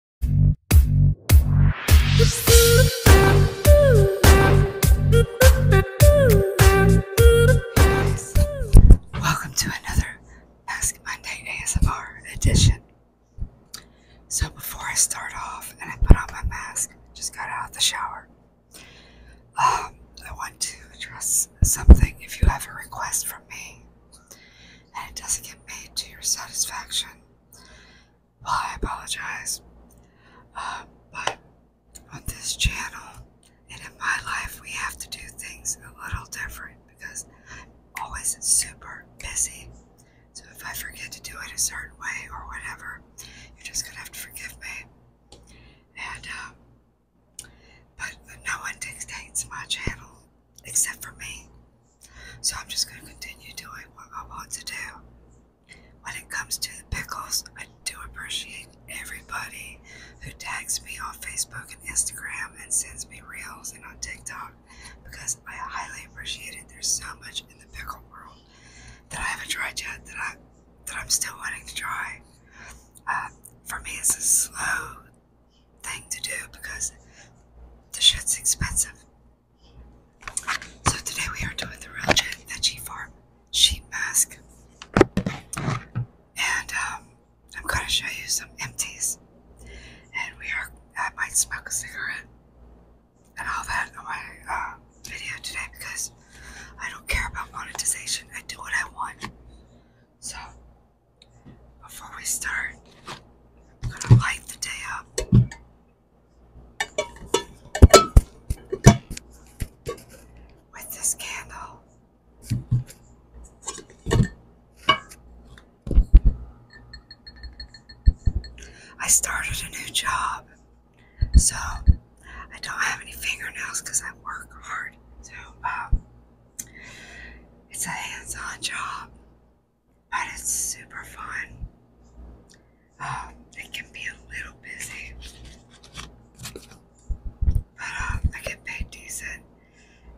Welcome to another Ask Monday ASMR edition. So, before I start off and I put on my mask, just got out of the shower. Um, I want to address something if you have a request from me and it doesn't get made to your satisfaction. Well, I apologize. Uh, but on this channel and in my life, we have to do things a little different because I'm always super busy. So if I forget to do it a certain way or whatever, you're just gonna have to forgive me. And, um, but no one dictates my channel except for me. So I'm just going to continue doing what I want to do. When it comes to the pickles, I do appreciate everybody who tags me on Facebook and Instagram and sends me reels and on TikTok because I highly appreciate it. There's so much in the pickle world that I haven't tried yet that I that I'm still wanting to try. Uh, for me, it's a slow thing to do because the shit's expensive. So today we are doing the real veggie farm sheet mask. And um, I'm going to show you some empties. And we are, I might smoke a cigarette and all that on my uh, video today because I don't care about monetization. I do what I want. So, before we start, I'm going to light the day up with this candle. I started a new job, so I don't have any fingernails because I work hard. So um, it's a hands-on job but it's super fun. Um, it can be a little busy, but um, I get paid decent,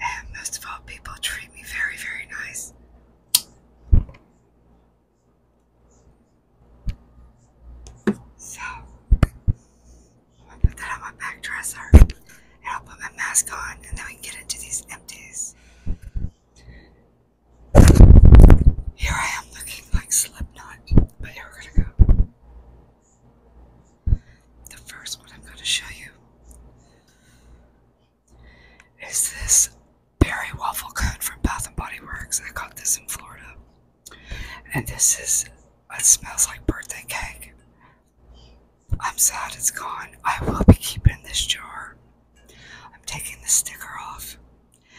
and most of all, people treat me very, very nice. So, i put that on my back dresser, and I'll put my mask on, and then we get into these empties. Here I am looking like Slipknot, but here we're gonna go. The first one I'm gonna show you is this berry waffle cone from Bath and Body Works. I got this in Florida, and this is it smells like birthday cake. I'm sad it's gone. I will be keeping this jar. I'm taking the sticker off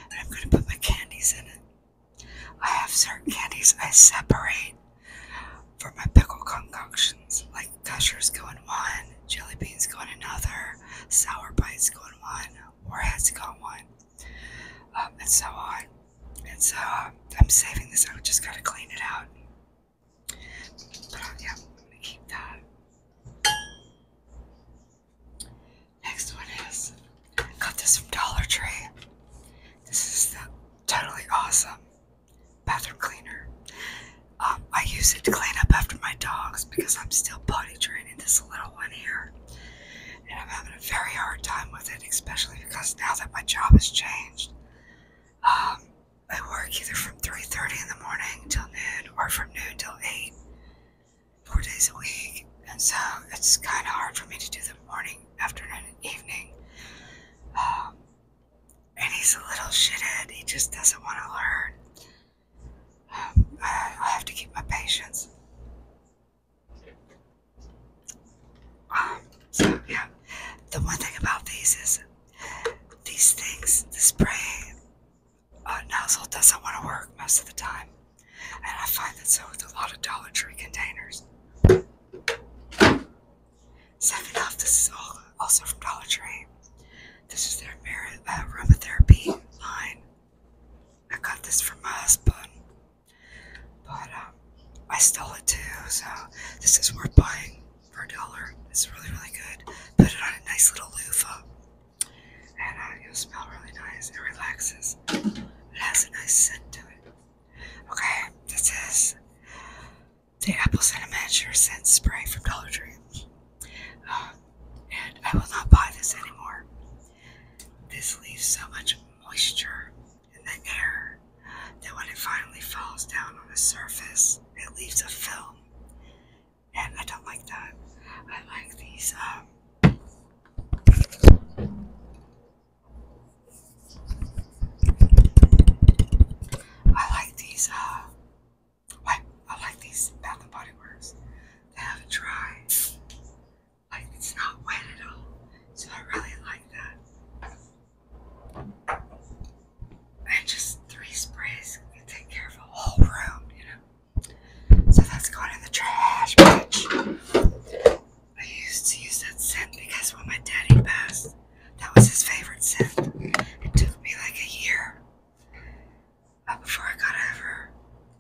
and I'm going to put my candies in it. I have certain candies I separate for my pickle concoctions, like gushers go in one, jelly beans go in another, sour bites go in one, warheads go in one, um, and so on. And so um, I'm saving this. I just got to clean it out. But uh, yeah, I'm going to keep that. Next one is got this from Dollar Tree. This is the totally awesome bathroom cleaner. Um, I use it to clean up after my dogs because I'm still potty training this little one here. And I'm having a very hard time with it, especially because now that my job has changed. Um, I work either from 3.30 in the morning till noon or from noon till 8 four days a week, and so it's kind of hard for me to do the morning, afternoon, and evening. Um, and he's a little shithead, he just doesn't want to learn. Um, I, have to keep my patience. Um, so, yeah, the one thing about these is these things, the spray, uh, nozzle doesn't want to work most of the time. And I find that so with a lot of Dollar Tree containers. Second off, this is all also from Dollar Tree. This is their uh, aromatherapy line. I got this from my husband, but um, I stole it too, so this is worth buying for a dollar. It's really, really good. Put it on a nice little loofah and it you'll smell really nice. It relaxes. It has a nice scent to it. Okay, this is the apple cinnamon sure scent spray from Dollar Tree. Um, and I will not buy this anymore. This leaves so much moisture in the air that when it finally falls down on the surface, it leaves a film and I don't like that. I like these, um, I like these, uh, like, I like these Bath and Body Works. They have a dry, Like, it's not wet at all. So I really like that. And just three sprays can take care of a whole room, you know? So that's going in the trash, bitch. I used to use that scent because when my daddy passed, that was his favorite scent. It took me like a year but before I got over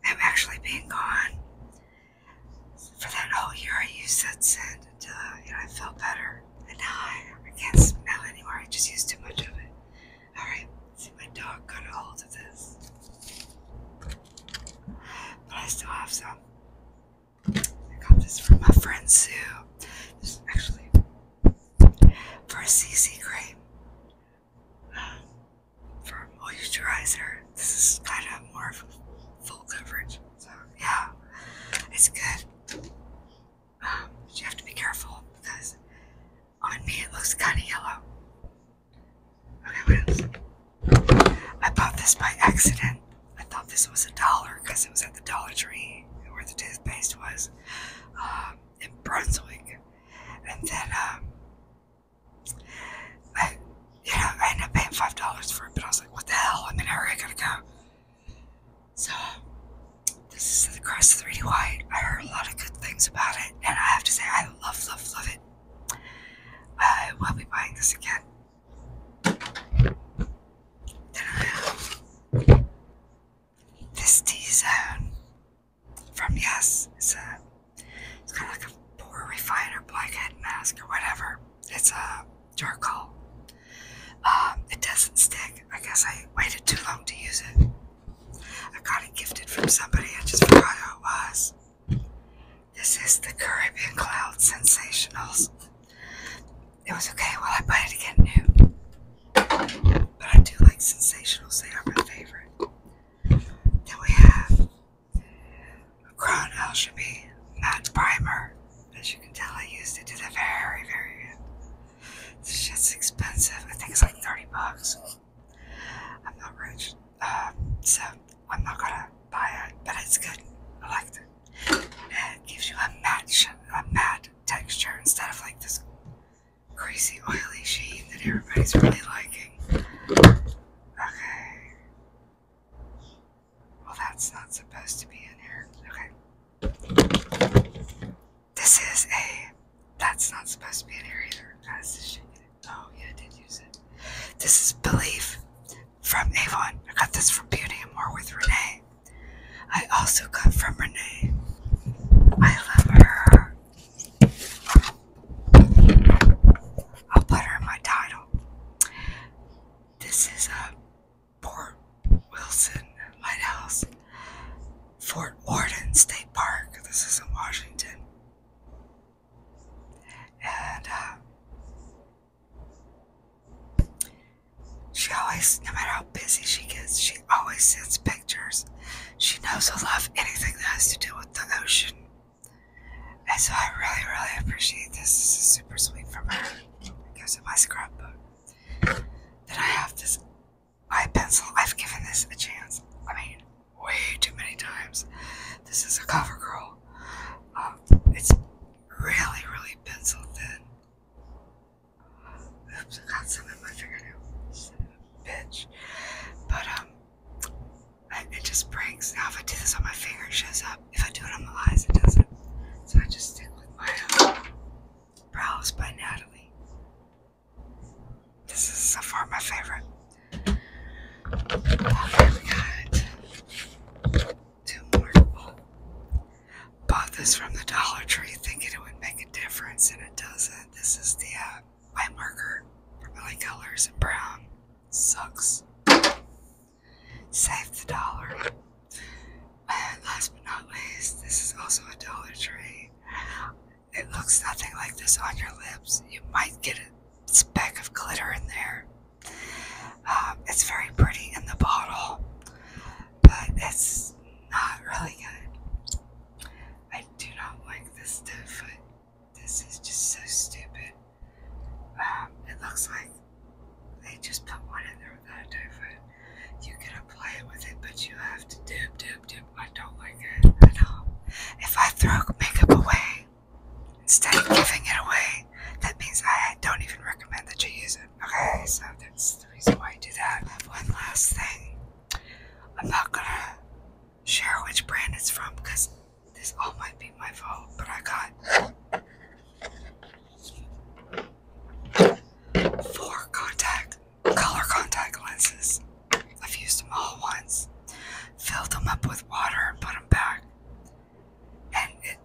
I'm actually being gone. For that whole year, I used that scent until I felt better. And now I, I can't smell anymore. I just used too much of it. All right. See, my dog got a hold of this. But I still have some. I got this from my friend Sue. This is actually for a CC cream. Um, for moisturizer. This is kind of more of full coverage. So, yeah, it's good. Um, you have to be careful because on me, it looks kind of yellow. Okay, what else? I bought this by accident. I thought this was a dollar because it was at the Dollar Tree where the toothpaste was um, in Brunswick. And then, um, I, ended up paying five dollars for it, but I was like, what the hell? I'm in a hurry, I gotta go. So, this is the Crest 3D White. I heard a lot of good things about it and I have to say, I love, love, love it. I uh, will be buying this again. this T Zone from Yes. It's a, it's kind of like a pore refiner, blackhead mask, or whatever. It's a charcoal. Um, it doesn't stick. I guess I waited too long to use it. I got it gifted from somebody. I just forgot who it was. This is the Caribbean Cloud Sensationals. It was okay. Well, I bought it again new. But I do like sensationals. They are my favorite. Then we have Crown Alchemy Matte Primer. As you can tell, I used it to the very, very end. This shit's expensive. I think it's like 30 bucks. I'm not rich, um, so I'm not gonna buy it, but it's good. I like it. And it gives you a matte, a matte texture instead of like this crazy oily sheen that everybody's really liking. Okay. Well, that's not supposed to be in here. Okay. This is a that's not supposed to be an here either. this Oh, yeah, I did use it. This is Belief from Avon. I got this from Beauty and More with Renee. I also got from Renee. I love her. I'll put her in my title. This is a uh, Fort Wilson Lighthouse, Fort Warden State Park. This is in Washington. And um, she always, no matter how busy she gets, she always sends pictures. She knows I love anything that has to do with the ocean. And so I really, really appreciate this. This is super sweet from her. It goes in my scrapbook. Then I have this I pencil. I've given this a chance. I mean, way too many times. This is a cover girl. Um, it's really, really pencil thin. Oops, got some in my fingernail. Bitch. But, um, it just breaks. Now, if I do this on my finger, it shows up. If I do it on my eyes, it doesn't. So I just uh, brows by Natalie. This is so far my favorite. Okay, we got two more. Bought this from the Dollar Tree thinking it would make a difference, and it doesn't. This is the uh, white marker from LA Colors in Brown. Sucks. Save the dollar. And last but not least, this is also a Dollar Tree. It looks nothing like this on your lips. You might get a speck of glitter in there. Um, it's very pretty in the bottle, but it's not really good. I do not like this stuff. foot. This is just so stupid. Um, it looks like they just put one in there without a two You can apply it with it, but you have to dip it. I don't like it at all. If I throw makeup away instead of giving it away, that means I don't even recommend that you use it. Okay, so that's the reason why I do that. one last thing. I'm not gonna share which brand it's from because this all might be my fault, but I got four contact color contact lenses. I've used them all once. Filled them up with water and put them back. And it,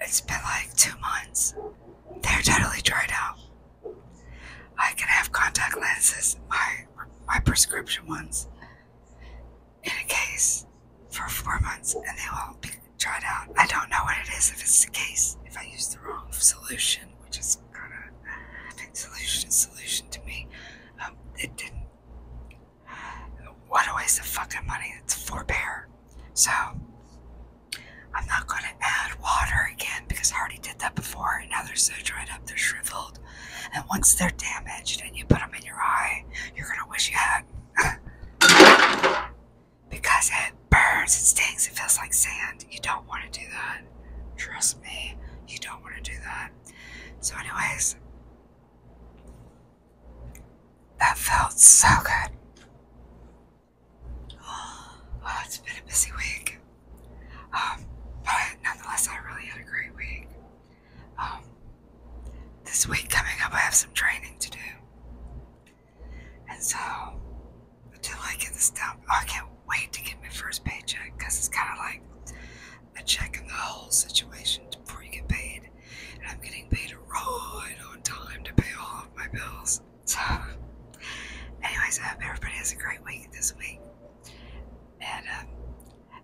has been like two months. They're totally dried out. I can have contact lenses, my my prescription ones, in a case for four months, and they will be dried out. I don't know what it is if it's the case if I use the wrong solution, which is kind of solution solution to me. Um, it didn't. What a waste of fucking money. It's forbear. So, I'm not going to add water again because I already did that before and now they're so dried up, they're shriveled. And once they're damaged and you put them in your eye, you're going to wish you had. because it burns, it stings, it feels like sand. You don't want to do that. Trust me, you don't want to do that. So, anyways, that felt so good. Oh, it's been a busy week. Um, but nonetheless, I really had a great week. Um, this week coming up, I have some training to do. And so, until I get this down, oh, I can't wait to get my first paycheck because it's kind of like a check in the hole situation before you get paid. And I'm getting paid right on time to pay all of my bills. So, anyways, I hope everybody has a great week this week. And uh,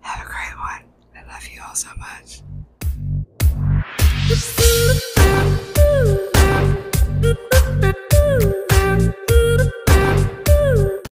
have a great one. I love you all so much.